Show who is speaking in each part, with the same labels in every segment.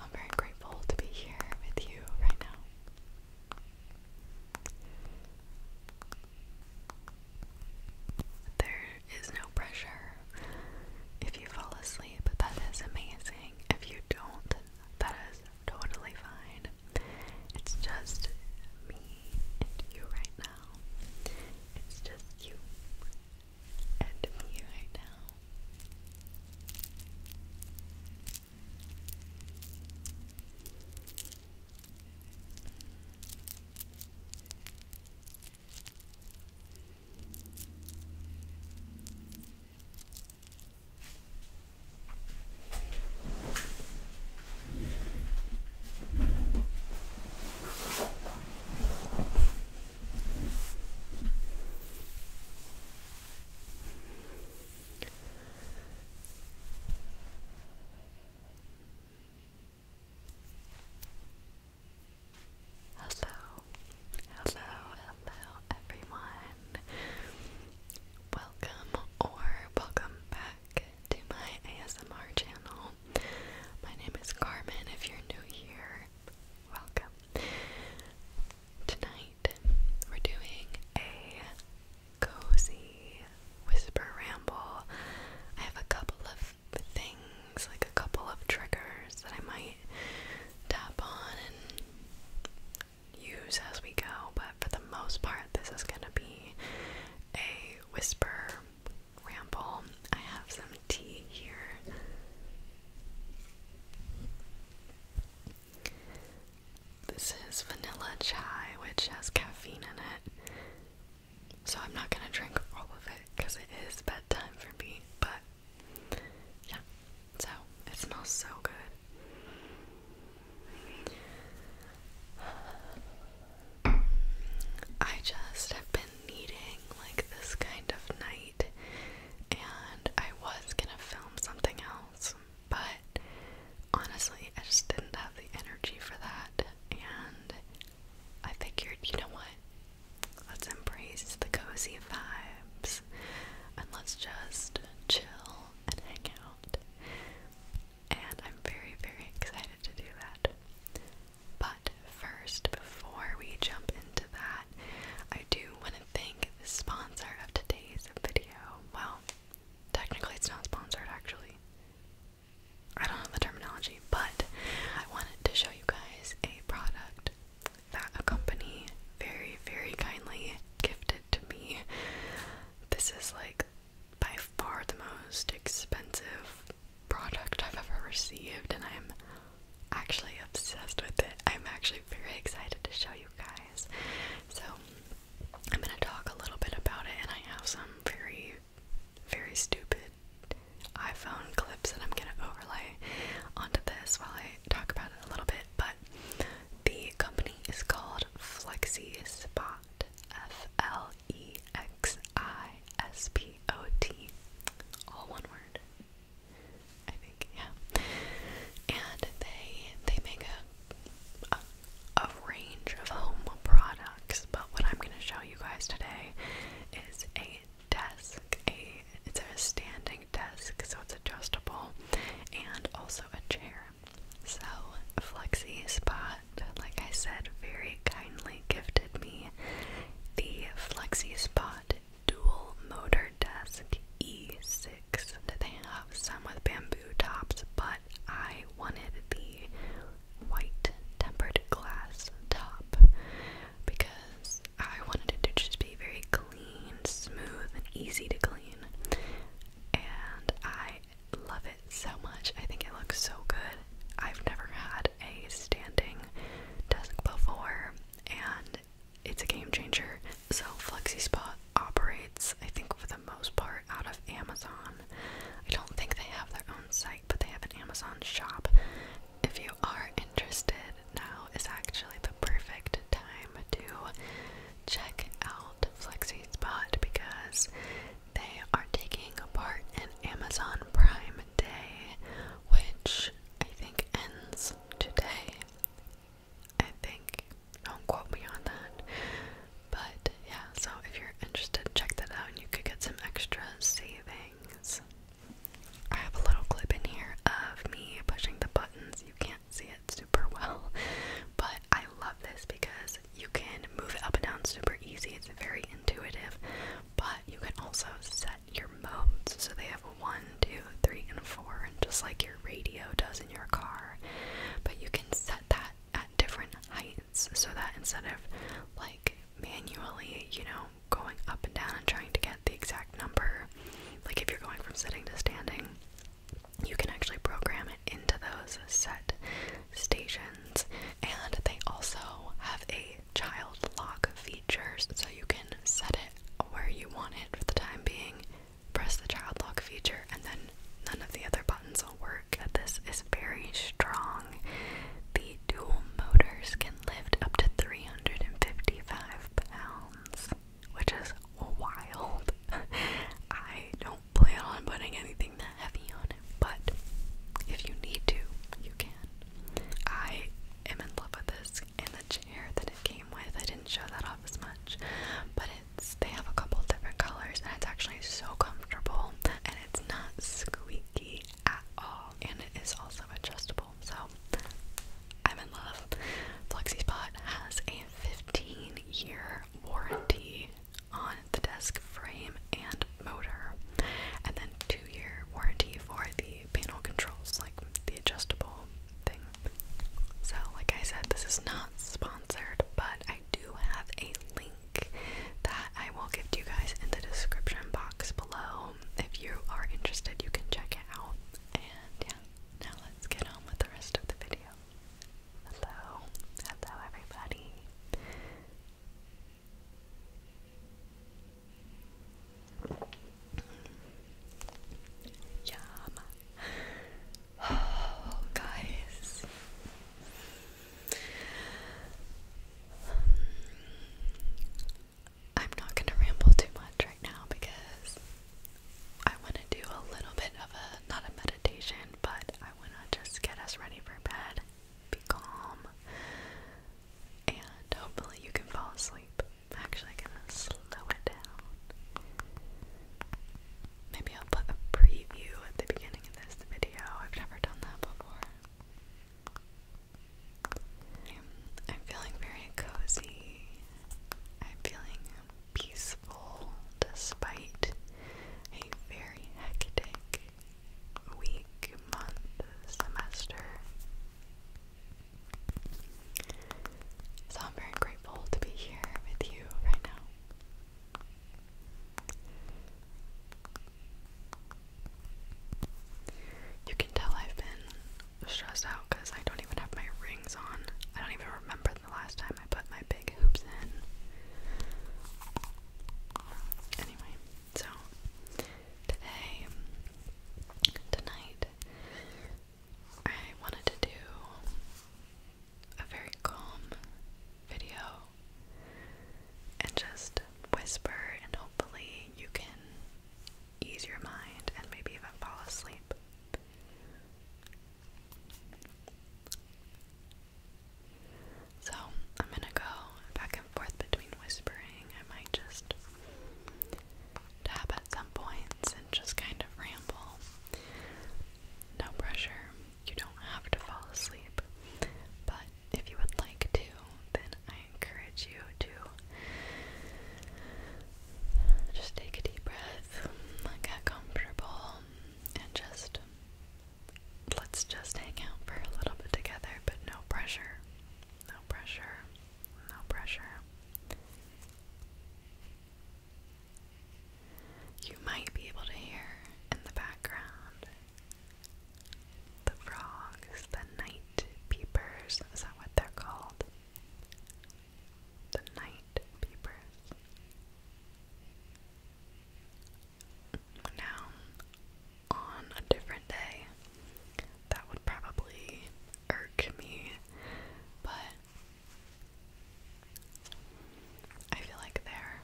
Speaker 1: I'm very grateful to be here with you right now. There is no pressure if you fall asleep. That is amazing. If you don't, that is totally fine. It's just me and you right now. It's just you and me right now. It's Hello, hello, hello, everyone. Welcome or welcome back to my ASMR channel. My name is Carmen. If you're new here, welcome. Tonight we're doing a cozy whisper ramble. I have a couple of things, like a couple of triggers that I might tap on and use as we go, but for the most part, this is going to be a whisper ramble. I have some tea here. This is vanilla chai, which has caffeine in it. So I'm not gonna drink all of it because it is bedtime for me, but yeah. So it smells so good. I just have been needing like this kind of night, and I was gonna film something else, but honestly, I just didn't have the energy for that, and I figured, you know what? Let's embrace the cozy vibes and let's just chill and hang out. And I'm very, very excited to do that. But first, before we jump into that, I do want to thank the sponsor of today's video. Well, technically, it's not sponsored actually. I don't know the terminology, but I wanted to show you guys a product that a company very, very kindly gifted to me. This is like by far the most expensive product I've ever received, and I'm actually obsessed with it. I'm actually very excited to show you guys. So, I'm gonna talk a little bit about it, and I have some very, very stupid iPhone clips that I'm gonna overlay onto this while I talk about it a little bit. But the company is called Flexi Spot, F L E X I S P O T, all one word. I think, yeah. And they they make a, a a range of home products, but what I'm gonna show you guys today is a desk. A it's a standing desk, so it's adjustable, and also a chair. So, Flexi Spot, like I said, very kindly gifted me the Flexi Spot Dual Motor Desk E6. They have some with bamboo tops, but I wanted the white tempered glass top because I wanted it to just be very clean clean, smooth, and easy to clean. And I love it so much. I think it looks so good. I've never had a standing desk before, and it's a game changer. So, FlexiSpot operates, I think, for the most part, out of Amazon. I don't think they have their own site, but they have an Amazon shop. If you are interested, now is actually the perfect time to check out Flexi Spot because they are taking part in Amazon Prime Day, which I think ends today. I think, don't quote me on that. But yeah, so if you're interested, check that out and you could get some extra savings. I have a little clip in here of me pushing the buttons. You can't see it it super well. But I love this because you can move it up and down super easy. It's very intuitive. But you can also set your modes. So they have one, two, three, and four, just like your radio does in your car. But you can set that at different heights so that instead of like manually, you know, going up and down and trying to get the exact number like if you're going from sitting to standing, you can actually program it into those set stations. And they also have a child lock feature, so you can set it where you want it for the time being, press the child lock feature, and then none of the other buttons will work. This is very strong. The dual motors can lift up to 355 pounds which is wild. I don't plan on putting anything that heavy on it, but if you need to, you can. I am in love with this and the chair that it came with. I didn't show that off as much, but it's they have a couple different colors and it's actually so comfortable and it's not squeaky at all and it is also adjustable people. So I'm in love. FlexiSpot has a 15 year warranty on the desk frame and motor, and then two year warranty for the panel controls, like the adjustable thing. So, like I said, this is not sponsored, but I do have a link that I will give to you guys in the description box below. If you are interested, you can check it out. And yeah, now let's get on with the rest of the video. Hello, hello everybody. Yum. Oh, guys. I'm not going to ramble too much right now because I want to do a little bit of a, not a meditation, but I want to just get us ready for bed, be calm, and hopefully you can fall asleep. I'm going to slow it down. Maybe I'll put a preview at the beginning of this video. I've never done that before. I'm, feeling very cozy. I'm feeling peaceful despite a very hectic week, month, semester. So I'm very grateful to be here with you right now. You can tell I've been stressed out because I don't even have my rings on. I don't even remember the last time I put my big hoops in. Anyway, so today, tonight, I wanted to do a very calm video and just whisper, and hopefully, you can ease your mind and maybe even fall asleep. So, I'm gonna go back and forth between whispering. I might just tap at some points and just kind of ramble. No pressure, you don't have to fall asleep. But if you would like to, then I encourage you to just take a deep breath, get comfortable, and just let's just hang out for a little bit together, but no pressure. No pressure. No pressure. You might be able to hear in the background the frogs, the night peepers, is that what they're called? The night peepers. Now, on a different day, that would probably irk me, but I feel like they're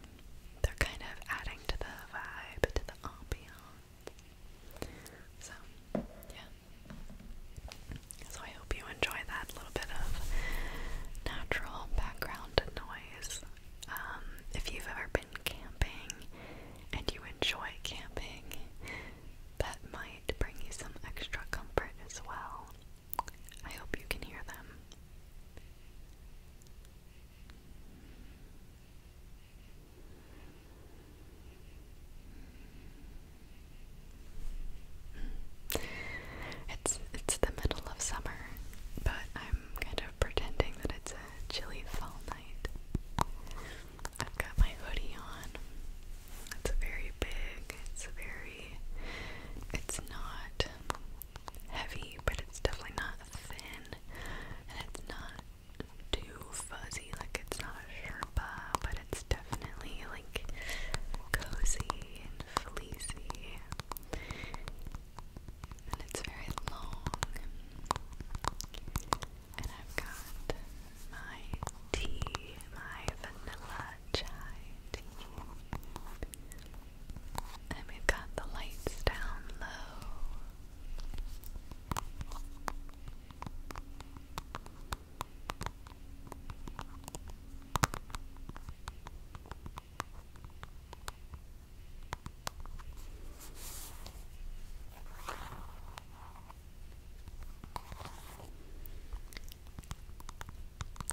Speaker 1: they're kind of adding to the vibe, to the ambiance. So, yeah. So I hope you enjoy that little bit of natural background noise. Um, if you've ever been camping and you enjoy camping, that might bring you some extra comfort as well. I hope you can hear them. It's it's the middle of summer, but I'm kind of pretending that it's a chilly fall night. I've got my hoodie on. It's very big. It's very it's not heavy, but it's definitely not thin and it's not too fuzzy, like it's not Sherpa, but it's definitely like cozy and fleecy. And it's very long. And I've got my tea, my vanilla chai tea. And we've got the lights down low.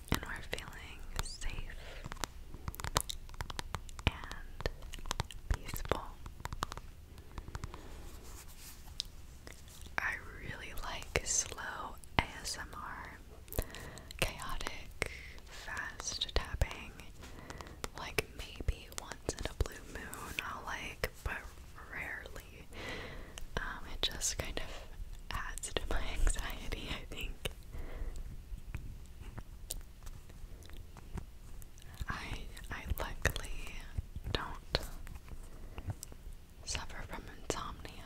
Speaker 1: And we're feeling safe and peaceful. I really like slow ASMR. Chaotic, fast tapping. Like maybe once in a blue moon I'll like, but rarely. Um, it just kind of adds to my anxiety, I think. I I luckily don't suffer from insomnia,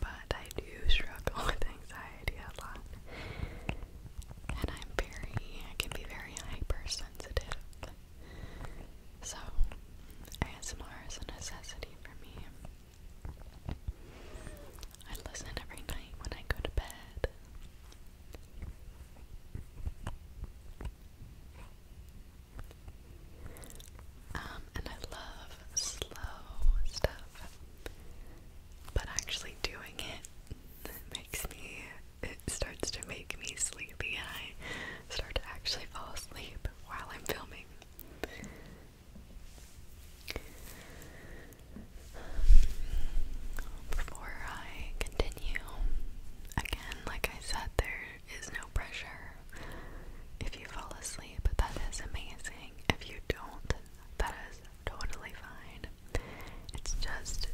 Speaker 1: but I do struggle with anxiety a lot. And I'm very I can be very hypersensitive. So ASMR is a necessity for me. I listen every night when I go to bed. Um, and I love slow stuff, but actually doing it makes me, it starts to make me sleepy, and I start to actually fall asleep while I'm filming. Before I continue, again, like I said, there is no pressure if you fall asleep. That is amazing. If you don't, that is totally fine. It's just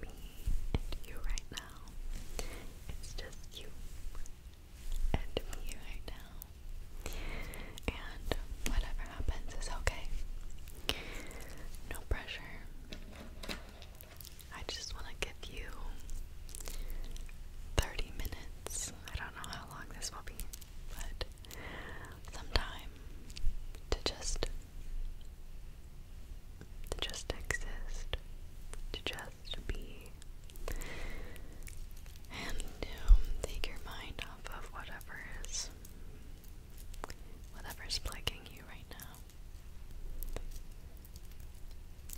Speaker 1: me and you right now. It's just you and me right now. And whatever happens is okay. No pressure. I just want to give you 30 minutes. I don't know how long this will be, but some time to just to just exist, to just be and to take your mind off of whatever is whatever's plaguing you right now.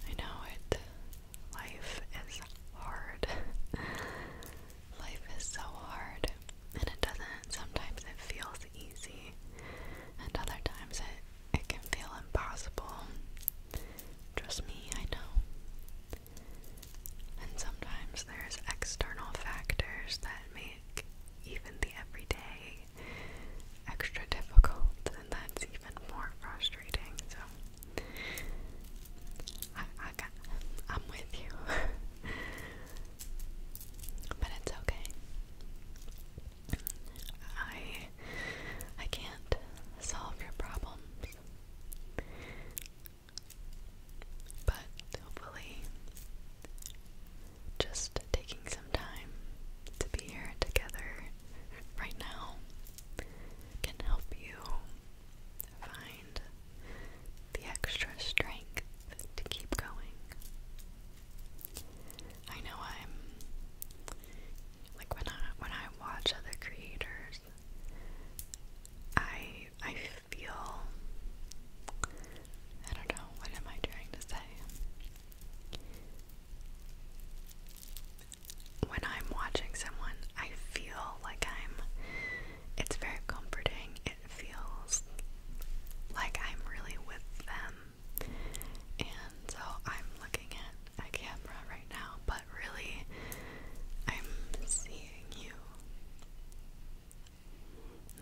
Speaker 1: I know it. Life is hard. Life is so hard. And it doesn't, sometimes it feels easy, and other times it, it can feel impossible. Trust me, I know. And sometimes there's external factors that make even the everyday extra difficult, and that's even more frustrating. So, I, I am with you, but it's okay. I, I can't solve your problems. But hopefully, just taking some time to be here together right now can help you find the extra strength to keep going. I know I'm like when I when I watch other creators I I feel I don't know, what am I trying to say? When I'm watching someone, I feel like I'm. It's very comforting. It feels like I'm really with them. And so I'm looking at a camera right now, but really, I'm seeing you.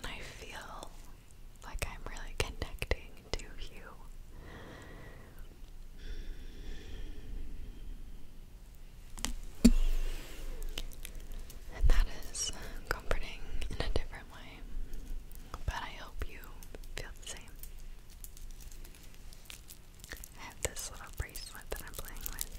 Speaker 1: I feel like I'm really connecting to you. And that is comforting in a different way. But I hope you feel the same. I have this little bracelet that I'm playing with.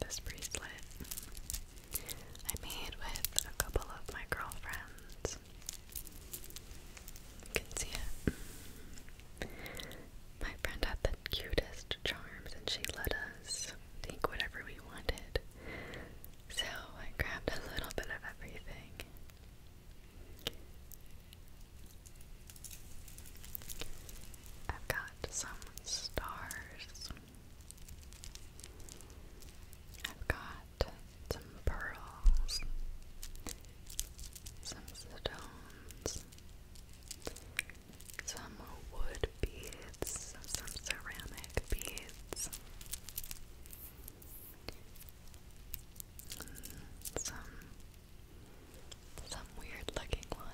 Speaker 1: This bracelet I made with a couple of my girlfriends. You can see it. My friend had the cutest charms and she let us take whatever we wanted. So I grabbed a little bit of everything. I've got some stars. I've got some pearls, some stones, some wood beads, some ceramic beads, some some weird looking one.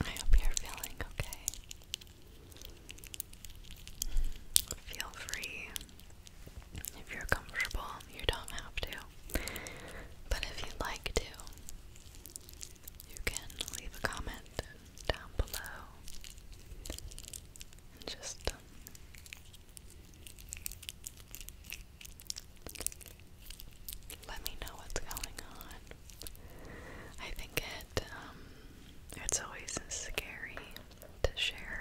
Speaker 1: I hope you're feeling okay. Feel free. If you're comfortable, you don't have to. But if you'd like to, you can leave a comment down below just um, let me know what's going on. I think it um, it's always scary to share,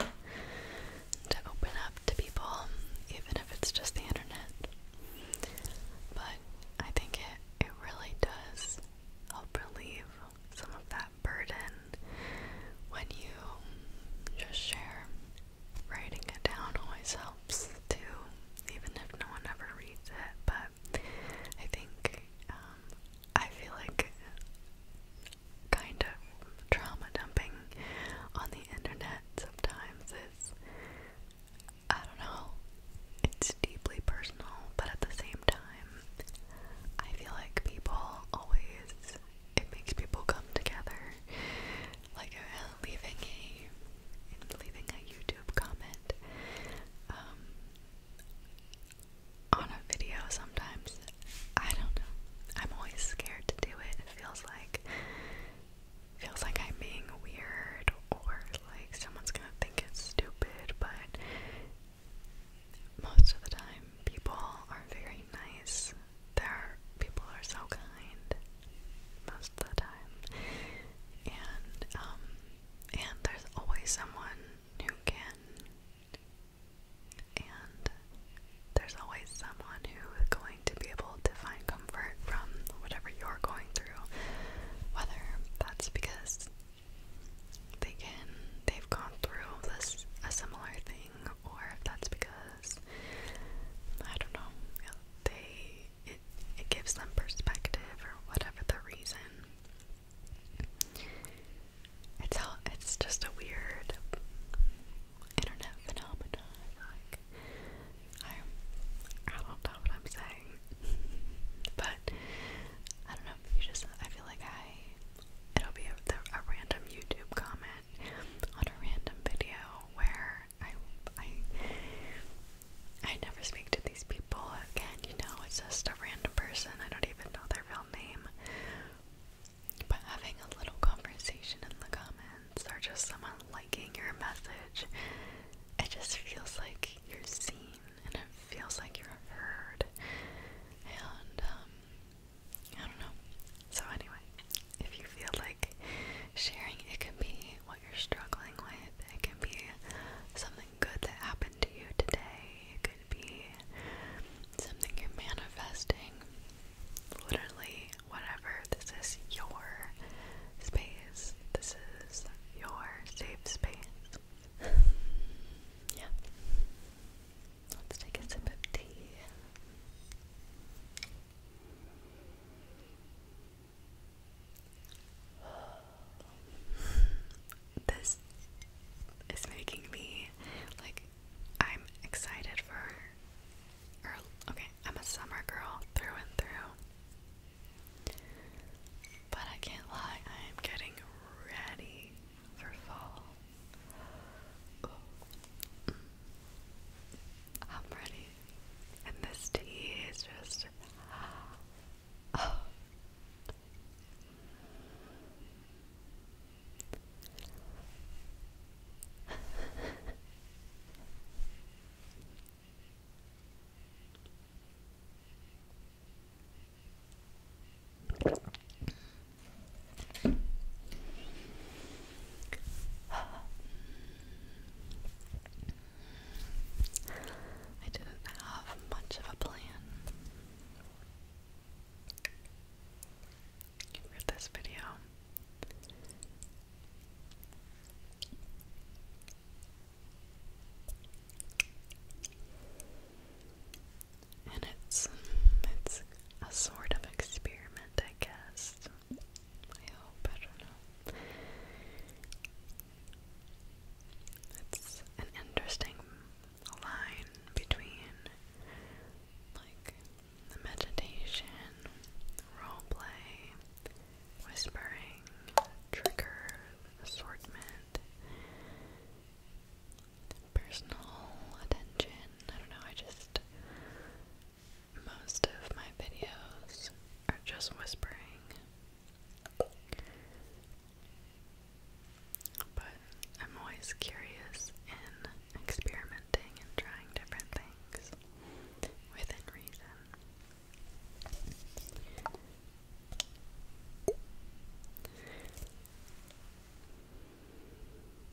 Speaker 1: to open up to people, even if it's just the internet. But I think it it really does help relieve some of that burden when you just share. Writing it down always helps too, even if no one ever reads it. But I think um, I feel like kind of trauma dumping on the internet sometimes is, I don't know, it's deeply personal, but at the same time, I feel like people always it makes people come together. Like uh, leaving a leaving a YouTube comment um, on a video sometimes. I don't know. I'm always scared to do it. It feels like feels like I'm being weird or like someone's gonna think it's stupid, but most of the time, people are very nice. There, people are so kind most of the time, and um, and there's always someone who can, and there's always someone who is going to be able to find comfort from whatever you're going through, whether that's because they can they've gone through this a similar thing or if that's because I don't know they it it gives them perspective or whatever the reason. It's it's just a weird internet phenomenon. I I don't know what I'm saying. but I don't know, you just I feel like I it'll be a, random YouTube comment on a random video where I, I, I never speak to these people again, you know, it's just a random person, I don't even know their real name, but having a little conversation in the comments, or just someone liking your message, it just feels like you're seen, and it feels like you're heard, and, um, I don't know. So, anyway, if you feel like sharing, it can be what you're struggling with, it can be something good that happened to you today, it could be something you're manifesting. Literally, whatever. This is your space, this is your safe space. yeah. Let's take a sip of tea. This is making me like I'm excited for Okay, I'm a summer girl through and through. But I can't lie, I am getting ready for fall. I'm ready. And this tea is just. I didn't have much of a plan for this video and it's it's a sort of experiment, I guess. I hope I don't know. It's an interesting line between like meditation, role whispering, trigger assortment personal attention. I don't know, I just. Most of my videos are just whispering. But I'm always curious in experimenting and trying different things within reason.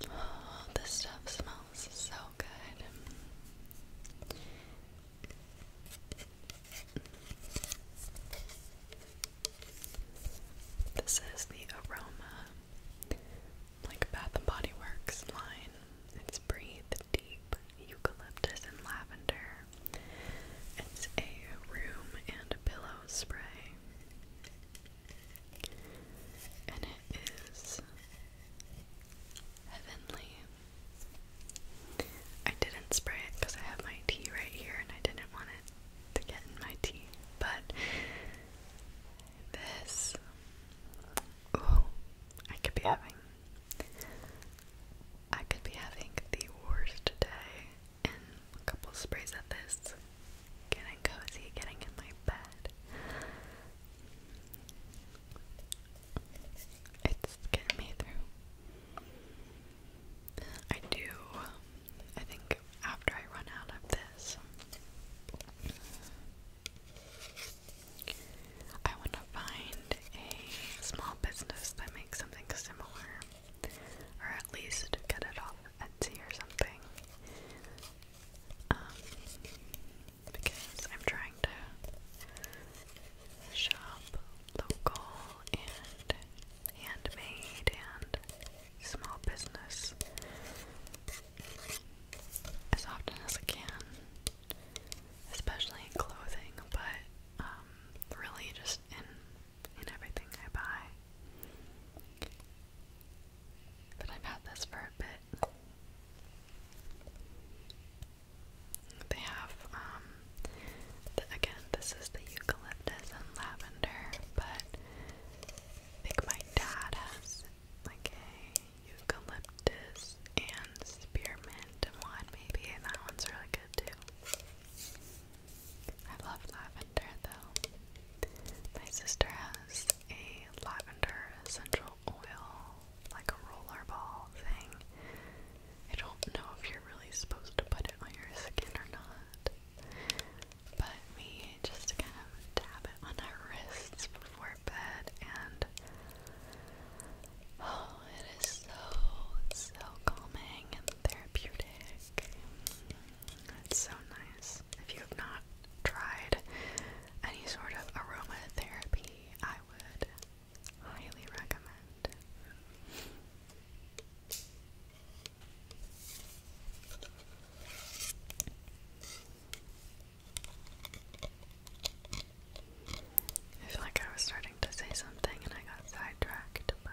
Speaker 1: Oh, this stuff smells so good. This is the aroma, like Bath and Body Works line. It's breathed deep eucalyptus and lavender. It's a room and pillow Spray. And it is heavenly. I didn't spray it because I have my tea right here and I didn't want it to get in my tea. But this, oh, I could be having, I could be having the worst day and a couple sprays of this. Getting cozy, getting in my bed. It's getting me through. I do, I think, after I run out of this, I want to find a small business that makes something similar or at least get it off Etsy or something. Um, because I'm trying to shop local and handmade and small business as often as I can, especially in clothing, but um, really just in in everything I buy. But I've had this for a bit. They have, um, again, this is the eucalyptus and lavender, but I think my dad has like a eucalyptus and spearmint one, maybe, and that one's really good too. I love lavender though. My sister has a lavender essential oil, like a roller ball thing. I don't know if you're really supposed to put it on your skin or not, but we just kind of dab it on our wrists before bed, and oh, it is so, so calming and therapeutic cake. so nice. If you have not tried any sort of aromatherapy, I would highly recommend. I feel like I was starting to say something and I got sidetracked, but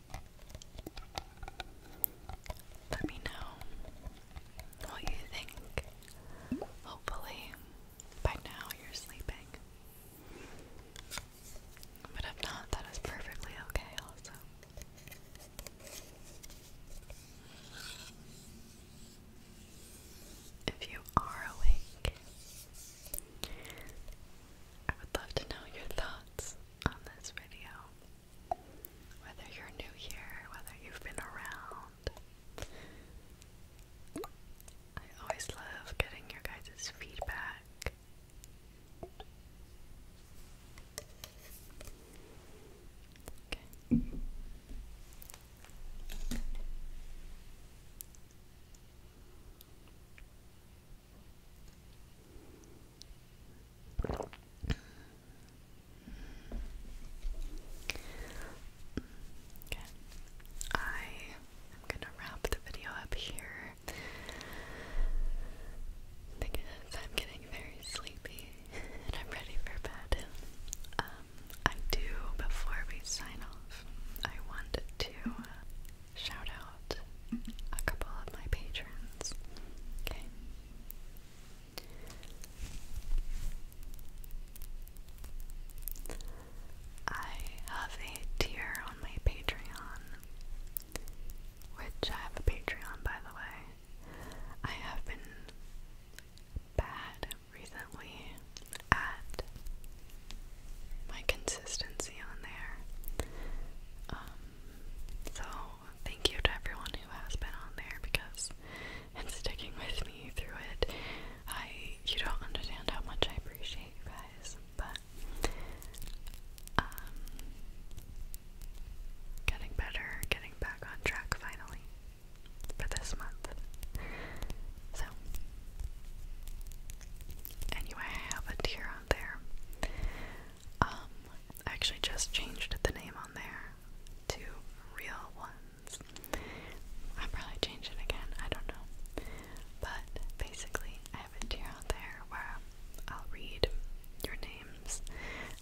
Speaker 1: Let me know what you think. Hopefully, by now you're sleeping. But if not, that is perfectly okay, also. If you are awake, I would love to know your thoughts on this video. Whether you're new here, whether you've been around. I always love getting your guys' feedback. Okay. I am going to wrap the video up here. Because I'm getting very sleepy and I'm ready for bed. Um, I do, before we sign off, I want to uh, shout out a couple of my patrons. Okay. I have a tier on my Patreon, which I have a Patreon by the way. I have been bad recently at my consistency on there. Um, so thank you to everyone who has been on there because and sticking with me through it. I you don't understand how much I appreciate you guys, but um, getting better, getting back on track finally for this month. So, anyway, I have a tier on there. Um, I actually just changed the name on there to Real Ones. I'll probably change again, I don't know. But basically, I have a tier on there where I'll read your names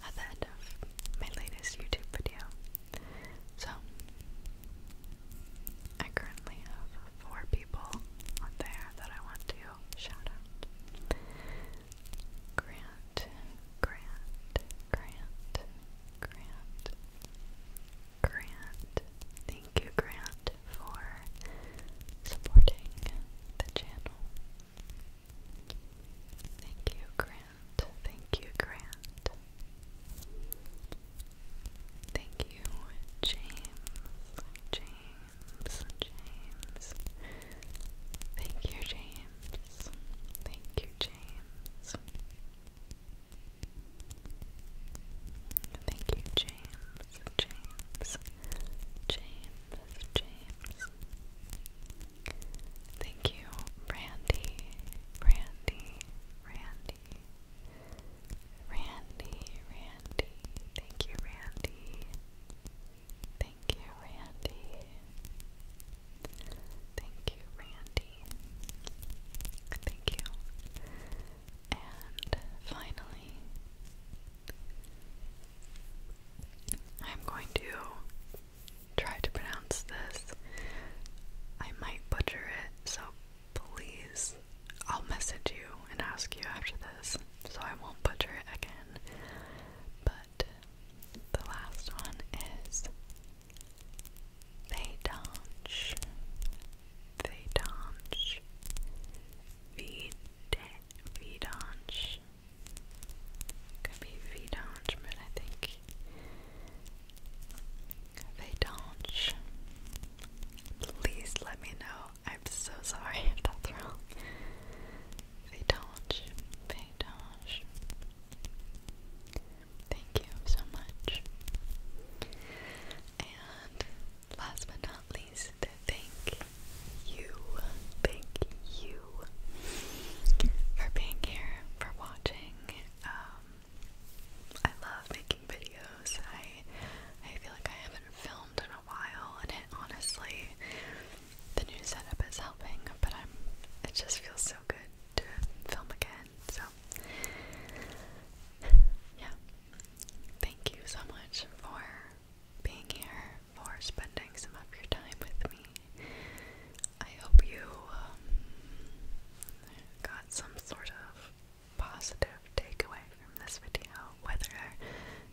Speaker 1: at the end of my latest YouTube video. So, I currently have four people there that I want to shout out. Grant, Grant, Grant, Grant, Grant. Thank you, Grant, for supporting the channel. Thank you, Grant. Thank you, Grant. Thank you, James. James, James. Thank you, James. Thank you, James. Thank you, James, James, James, James. Thank you, Brandy, Brandy, Brandy, Randy, Randy, thank you, Randy. Thank you, Randy. Thank you, Randy. Thank you. And finally, I'm going to try to pronounce this. I might butcher it, so Please, I'll message you and ask you after this so I won't butcher it again. But the last one is Vedonch. Vedonch. Vedonch. Could be Vedonch, but I think they don't. Please let me know. I'm so sorry that's wrong. They don't. They don't. Thank you so much. And last but not least, thank you. Thank you for being here, for watching. Um, I love making videos. I I feel like I haven't filmed in a while, and honestly, the new setup is helping. But I'm, it just feels so good to film again. So yeah, thank you so much for being here, for spending some of your time with me. I hope you um, got some sort of positive takeaway from this video, whether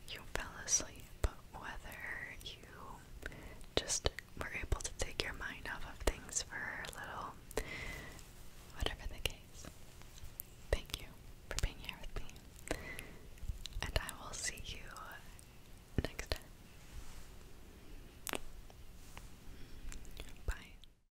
Speaker 1: you fell asleep, but whether you just were able to take your mind off of things for a little, whatever the case. Thank you for being here with me, and I will see you next time. Bye.